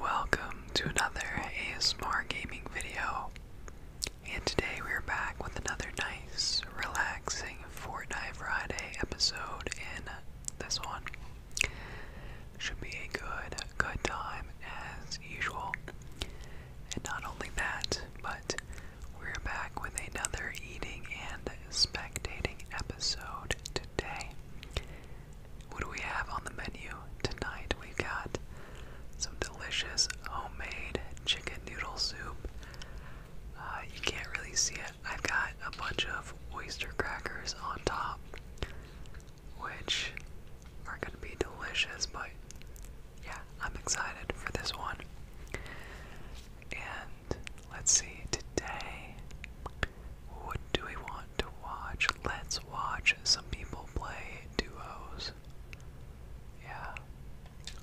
Welcome to another ASMR gaming video. And today we're back with another nice, relaxing Fortnite Friday episode in this one. Should be a good, good time as usual. And not only that, but we're back with another eating and spectating episode today. What do we have on the menu tonight? We've got some delicious homemade chicken noodle soup. Uh, you can't really see it. I've got a bunch of oyster crackers on top, which are going to be delicious, but yeah, I'm excited for this one. And let's see, today what do we want to watch? Let's watch some people play duos. Yeah,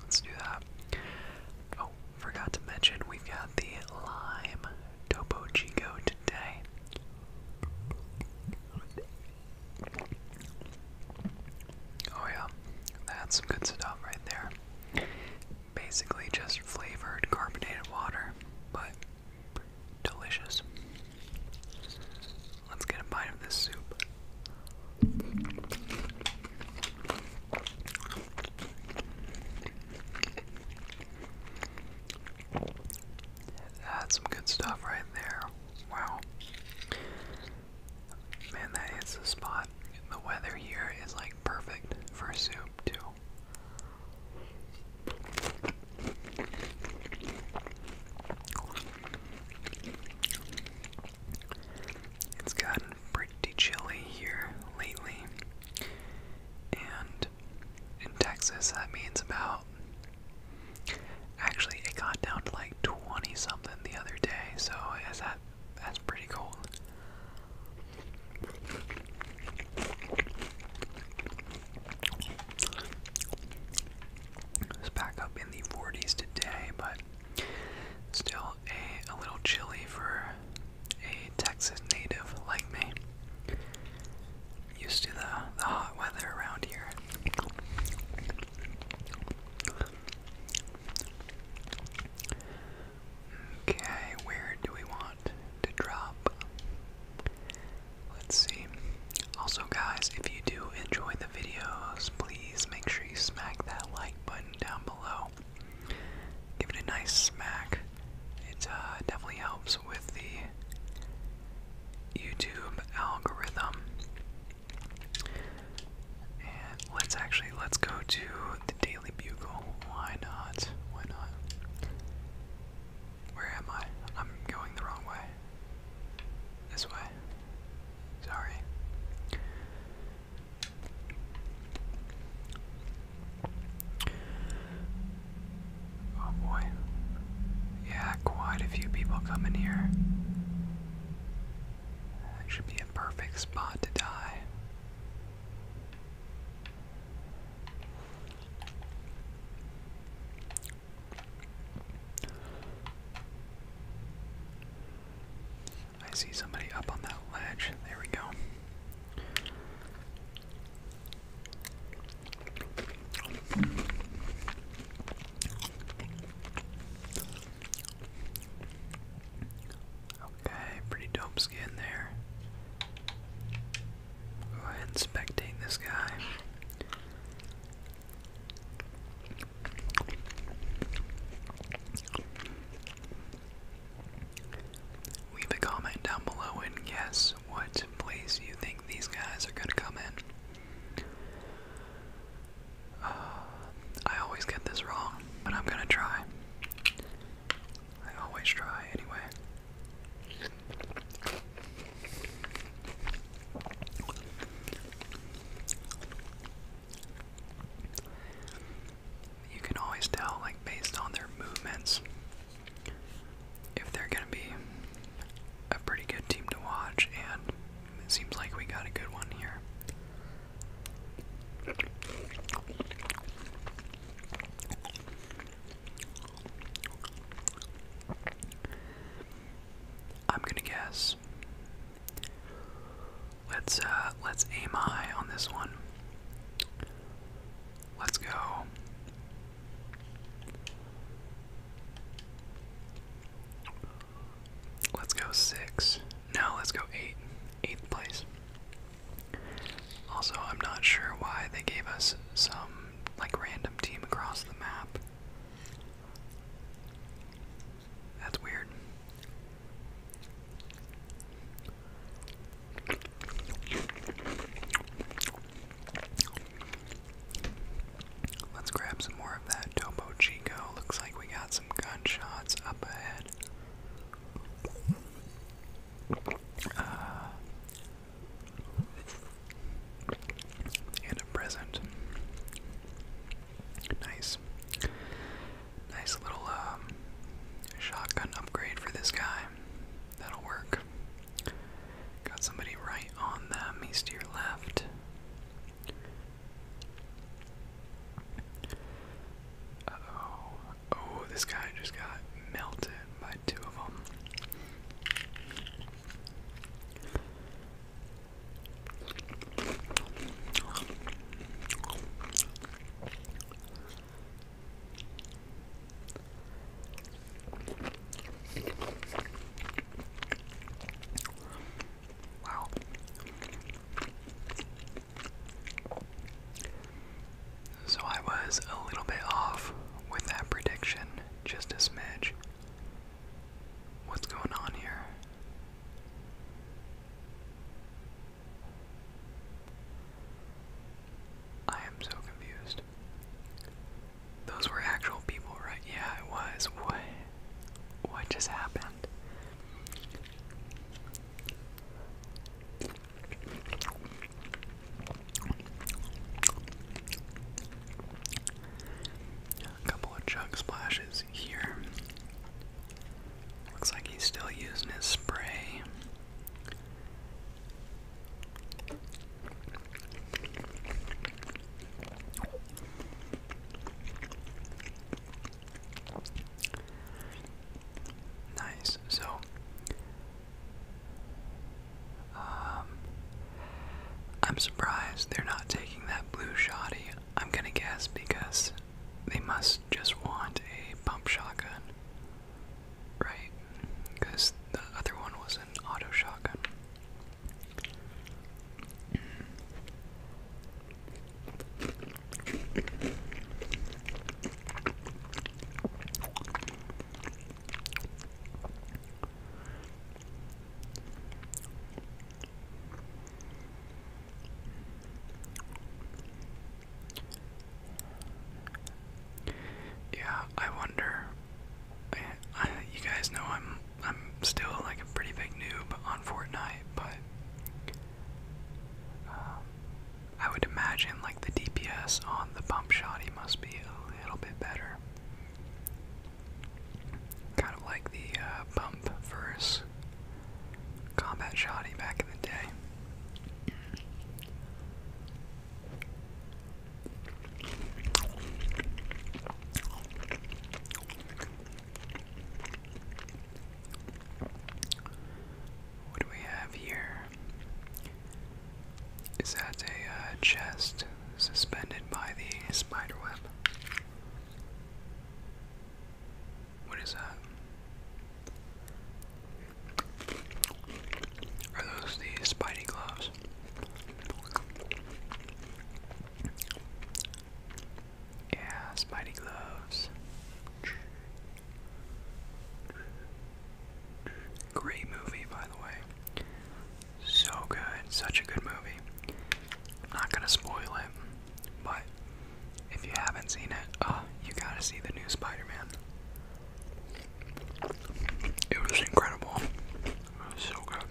let's do that. Oh, forgot to mention we've got the lime Topo today. Oh yeah, that's some good stuff right there basically just flavored carbonated water, but delicious. Let's get a bite of this soup. That's some good stuff right there. Wow. Man, that hits the spot. The weather here is like perfect for soup, too. It's gotten pretty chilly here lately, and in Texas, that means about actually, it got down to like 20 something the other day, so is that that's pretty cold. It's back up in the 40s today, but still a, a little chilly for a Texas native like me. Used to the, the hot weather around here. Okay, where do we want to drop. Let's see. Also, guys, if you do enjoy the videos, please make sure you smack that like button down below. Give it a nice smack. It uh, definitely helps with the YouTube algorithm. And let's actually let's go to the Daily Bugle. Why not? Why not? Where am I? I'm going the wrong way. This way. Sorry. Oh boy. Yeah, quite a few people come in here. should be a perfect spot to die. I see somebody up on that ledge. There we go. Okay, pretty dope skin there. Go ahead and this guy. Leave a comment down below and guess what place you think these guys are gonna come in. Uh, I always get this wrong, but I'm gonna try. I always try anyway. You can always tell, like, based on their movements, if they're going to be a pretty good team to watch, and it seems like we got a good one here. I'm gonna guess. Let's uh let's aim high on this one. Let's go. Let's go six. Now let's go eight. Eighth place. Also, I'm not sure why they gave us some like random team across the map. That's weird. Let's grab some more of that Topo Chico. Looks like we got gunshots up ahead. Uh, and a present. Nice. Nice little um, shotgun upgrade for this guy. That'll work. Got somebody right on them. He's to your left oh. Oh, this guy just got melted by two of them. Wow. So I was a little bit off with that prediction, just a smidge. What's going on here? I am so confused. Those were actual people, right? Yeah, it was. What? What just happened? A couple of chug splashes here. Looks like he's still using his spray. Nice. So, um, I'm surprised they're not taking that blue shoddy. I'm gonna guess because they must just want a pump shotgun, right? Because the other one was an auto shotgun. Yeah, I wonder. you guys know I'm I'm still like a pretty big noob on Fortnite, but um, I would imagine like the DPS on the bump shot, must be a little bit better. Kind of like the uh, versus combat shotty back in the day. What do we have here? Is that a uh, chest suspended by the spider web? What is that? Are those the Spidey gloves? Yeah, Spidey gloves. Great movie, by the way. So good, such a good movie. not gonna spoil it, but if you haven't seen it, uh, you gotta see the new Spider-Man. It was incredible. so good.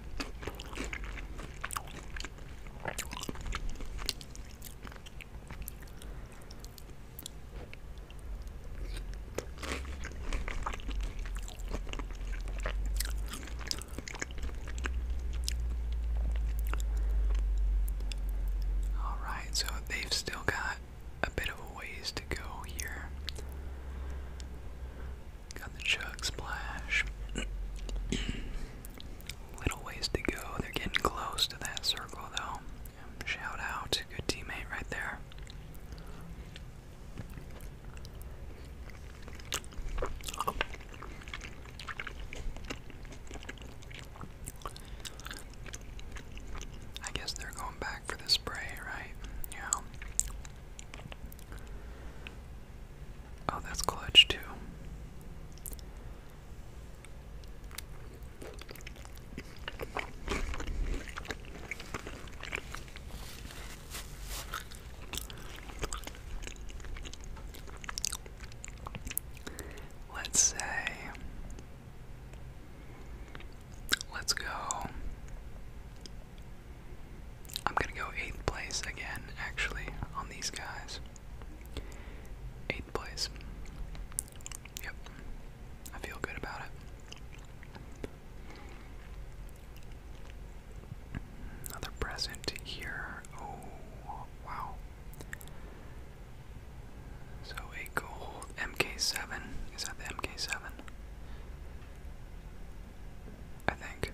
All right, so they've still got a bit of a ways to go here. Got the chug splash. Little ways to go. They're getting close to that circle, though. Shout out. Good teammate right there. I guess they're going back for the spray, right? Yeah. Oh, that's clutch too. Let's say, let's go I'm gonna go eighth place again, actually, on these guys. Eighth place. Yep. I feel good about it. Another present here. Oh, wow. So a gold MK7. Is that the MK7? I think.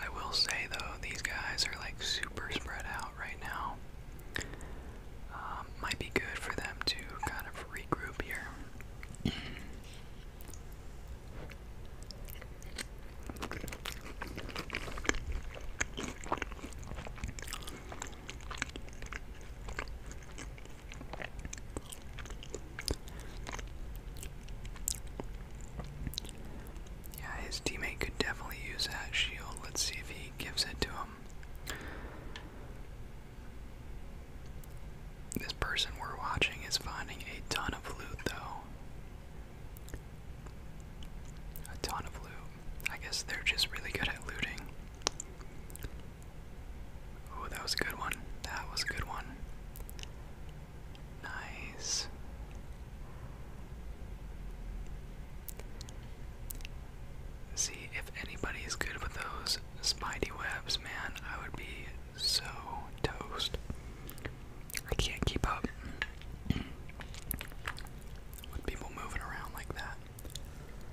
I will say though, these guys are like super spread out right now. Um, might be good for them to kind of regroup here. Yeah, his teammate could definitely use that shield. Let's see if he gives it to him. This person we're watching is finding a ton of loot, though. A ton of loot. I guess they're just really good at looting. Ooh, that was a good one. That was a good one. Nice. See, if anybody's good with those spidey webs, man, I would be so toast. I can't keep up with people moving around like that.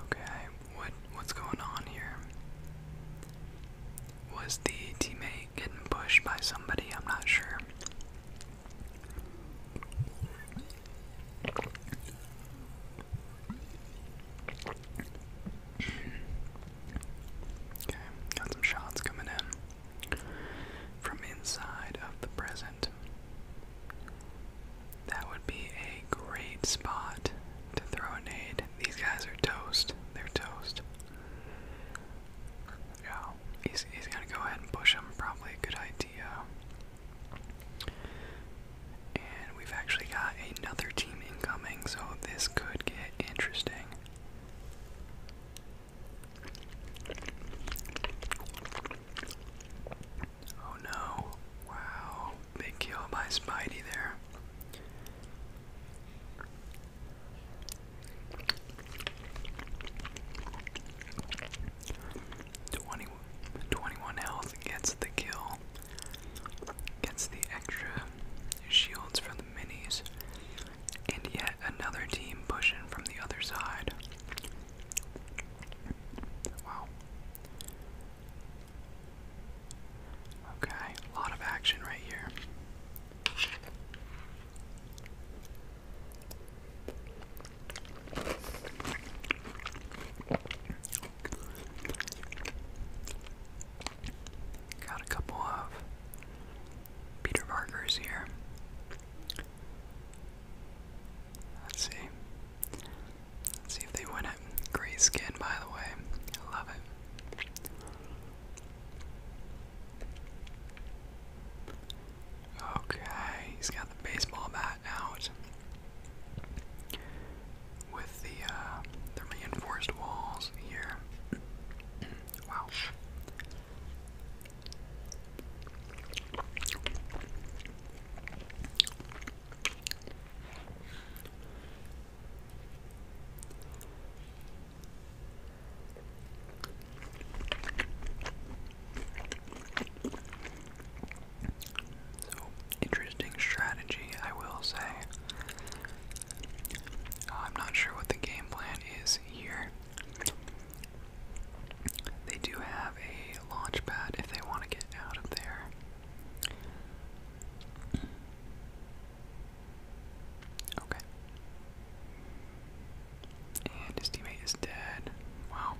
Okay, what what's going on here? Was the teammate getting pushed by somebody? I'm not sure. Okay, got some shots coming in from inside of the present. That would be a great spot to throw a nade. These guys are toast. They're toast. Yeah, he's, he's gonna go ahead and push him. Probably a good idea. And we've actually got another team incoming, so this could get interesting. Oh no. Wow. Big kill by Spidey there. Twenty twenty-one health gets the kill. Gets the extra shields from the minis. And yet another team pushing from the other side. Wow. Okay, a lot of action right here. Got a couple of Peter Parker's here. Let's see. see if they win it. Gray skin, by the way. I love it. Okay, he's got the baseball bat out with the uh, the reinforced walls here. Wow. So, interesting strategy, I will say. Uh, I'm not sure what the game plan is here. They do have a launch pad if they want to get out of there. Okay. And his teammate is dead. Wow.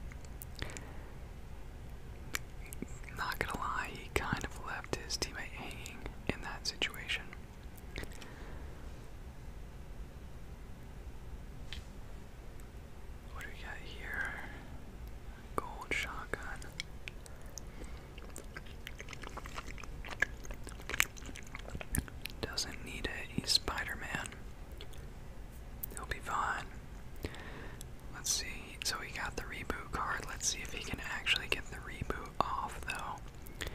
Not gonna lie, he kind of left his teammate hanging in that situation. What do we got here? Gold shotgun. Doesn't need it. He's Spider Man. He'll be fine. Let's see. So he got the reboot card. Let's see if he can actually get the reboot off though.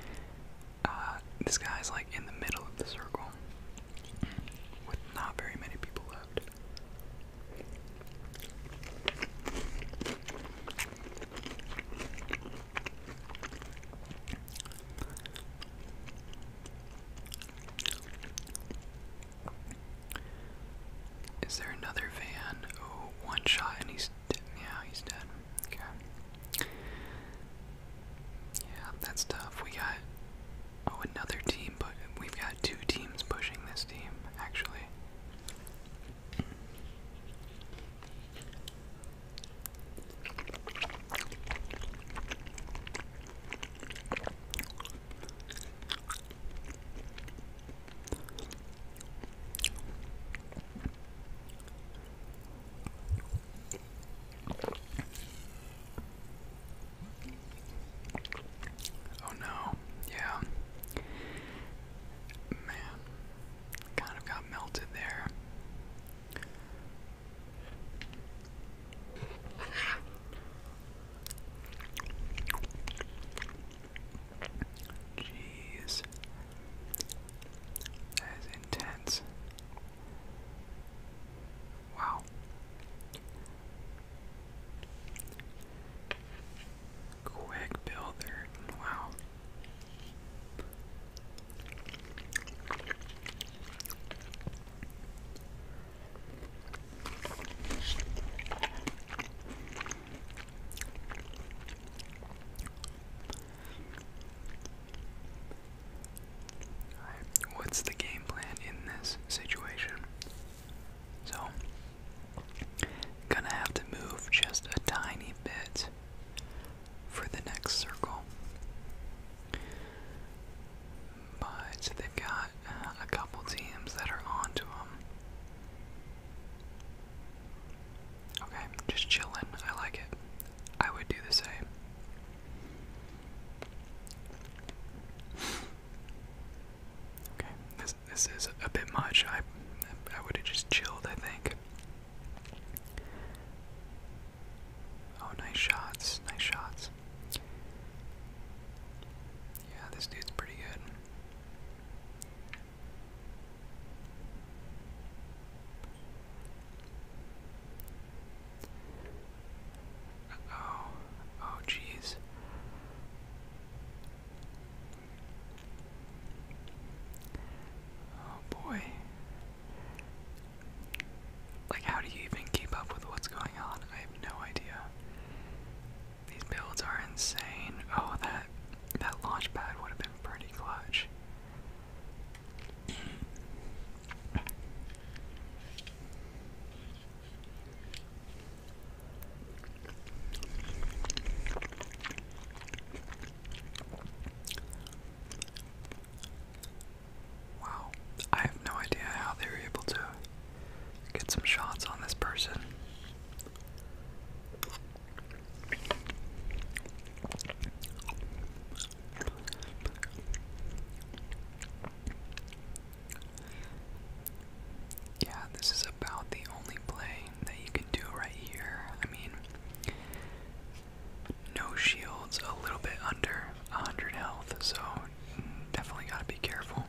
Uh, this guy's like in the middle of the circle with not very many people left. Is there another van? one shot and he's yeah, he's dead. Okay. Yeah, that's tough. We got oh another team, but we've got two teams pushing this team actually. Oh no, yeah. Man, kind of got melted there. Jeez. That is intense. Wow. Quick builder. Wow what's the game plan in this situation? So, gonna have to move just a tiny bit for the next circle. But they've got uh, a couple teams that are onto them. Okay, just chilling. I like it. I would do the same. Okay, this this is a bit much. I I would have just chilled. I think. Oh, nice shots. Nice shots. Yeah, this dude's pretty good oh. Oh, jeez. Oh boy. Like, how do you even keep up with what's going on? I have no idea. These builds are insane. Oh, that that launch pad would have been pretty clutch. Wow, I have no idea how they were able to Get some shots on this person. Yeah, this is about the only play that you can do right here. I mean, no shields, a little bit under 100 health, so definitely got to be careful.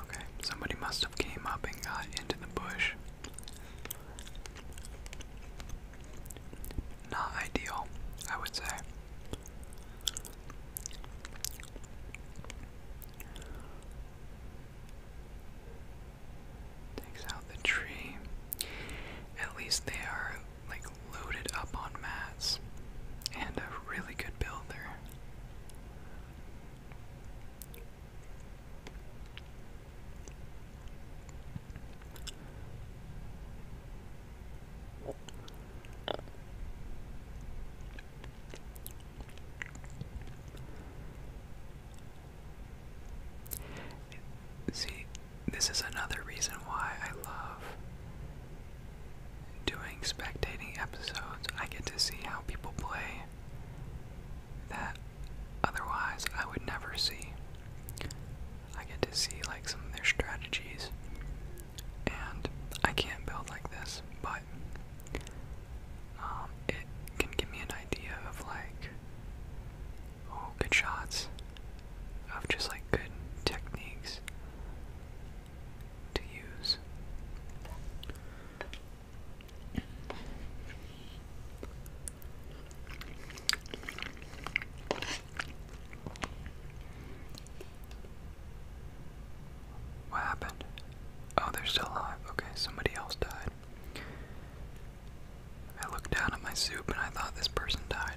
Okay, somebody must have came up and got into the bush. Not ideal, I would say. Takes out the tree. At least they are like loaded up on mats and a really good builder. See, this is another reason why I love doing spectating episodes. I get to see how people play that otherwise I would never see. I get to see like some of their strategies, and I can't build like this, but um, it can give me an idea of like, oh, good shots, of just like good techniques to use. What happened? Oh, they're still alive. Okay, somebody else died. I looked down at my soup and I thought this person died.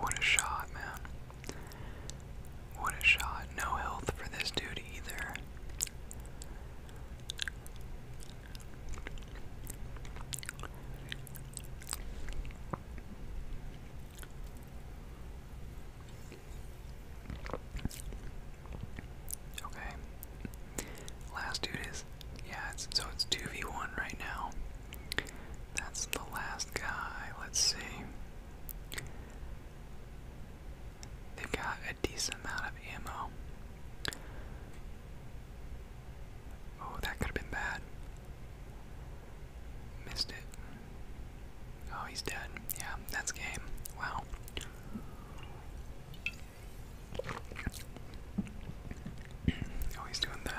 What a shot, man. What a shot. No health for this dude either. Okay. Last dude is yeah, so it's 2v1 right now. That's the last guy. Let's see. they got a decent amount of ammo. Oh, that could have been bad. Missed it. Oh, he's dead. Yeah, that's game. Wow. Oh, he's doing the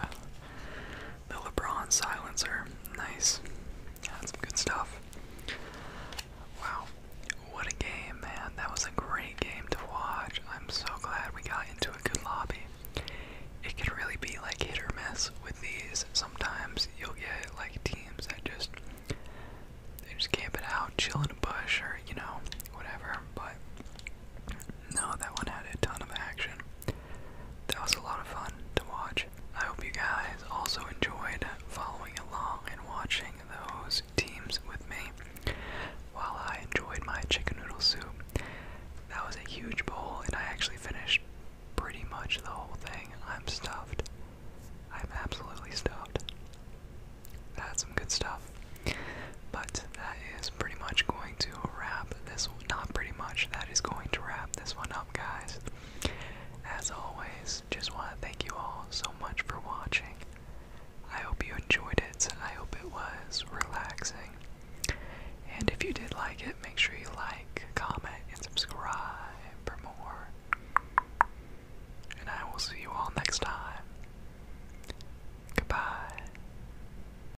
the LeBron silencer. Nice. That's some good stuff. Wow. What a game, man. That was a great game to watch. I'm so glad we got into a good lobby. It can really be like hit or miss with these. Sometimes you'll get like teams that just they just camp it out, chill in a bush or, you know, whatever. But no, that one had a ton of action. That was a lot of fun to watch. I hope you guys also enjoyed following along and watching those teams with me while I enjoyed my chicken noodle soup. That was a huge bowl, and I actually finished pretty much the whole thing. I'm stuffed. I'm absolutely stuffed. That's some good stuff. But that is pretty much going to wrap this one. Not pretty much, that is going to wrap this one up, guys. As always, just want to thank you all so much for watching. I hope you enjoyed it. I hope it was relaxing. And if you did like it, make sure you like, comment, and subscribe for more. And I will see you all next time. Goodbye.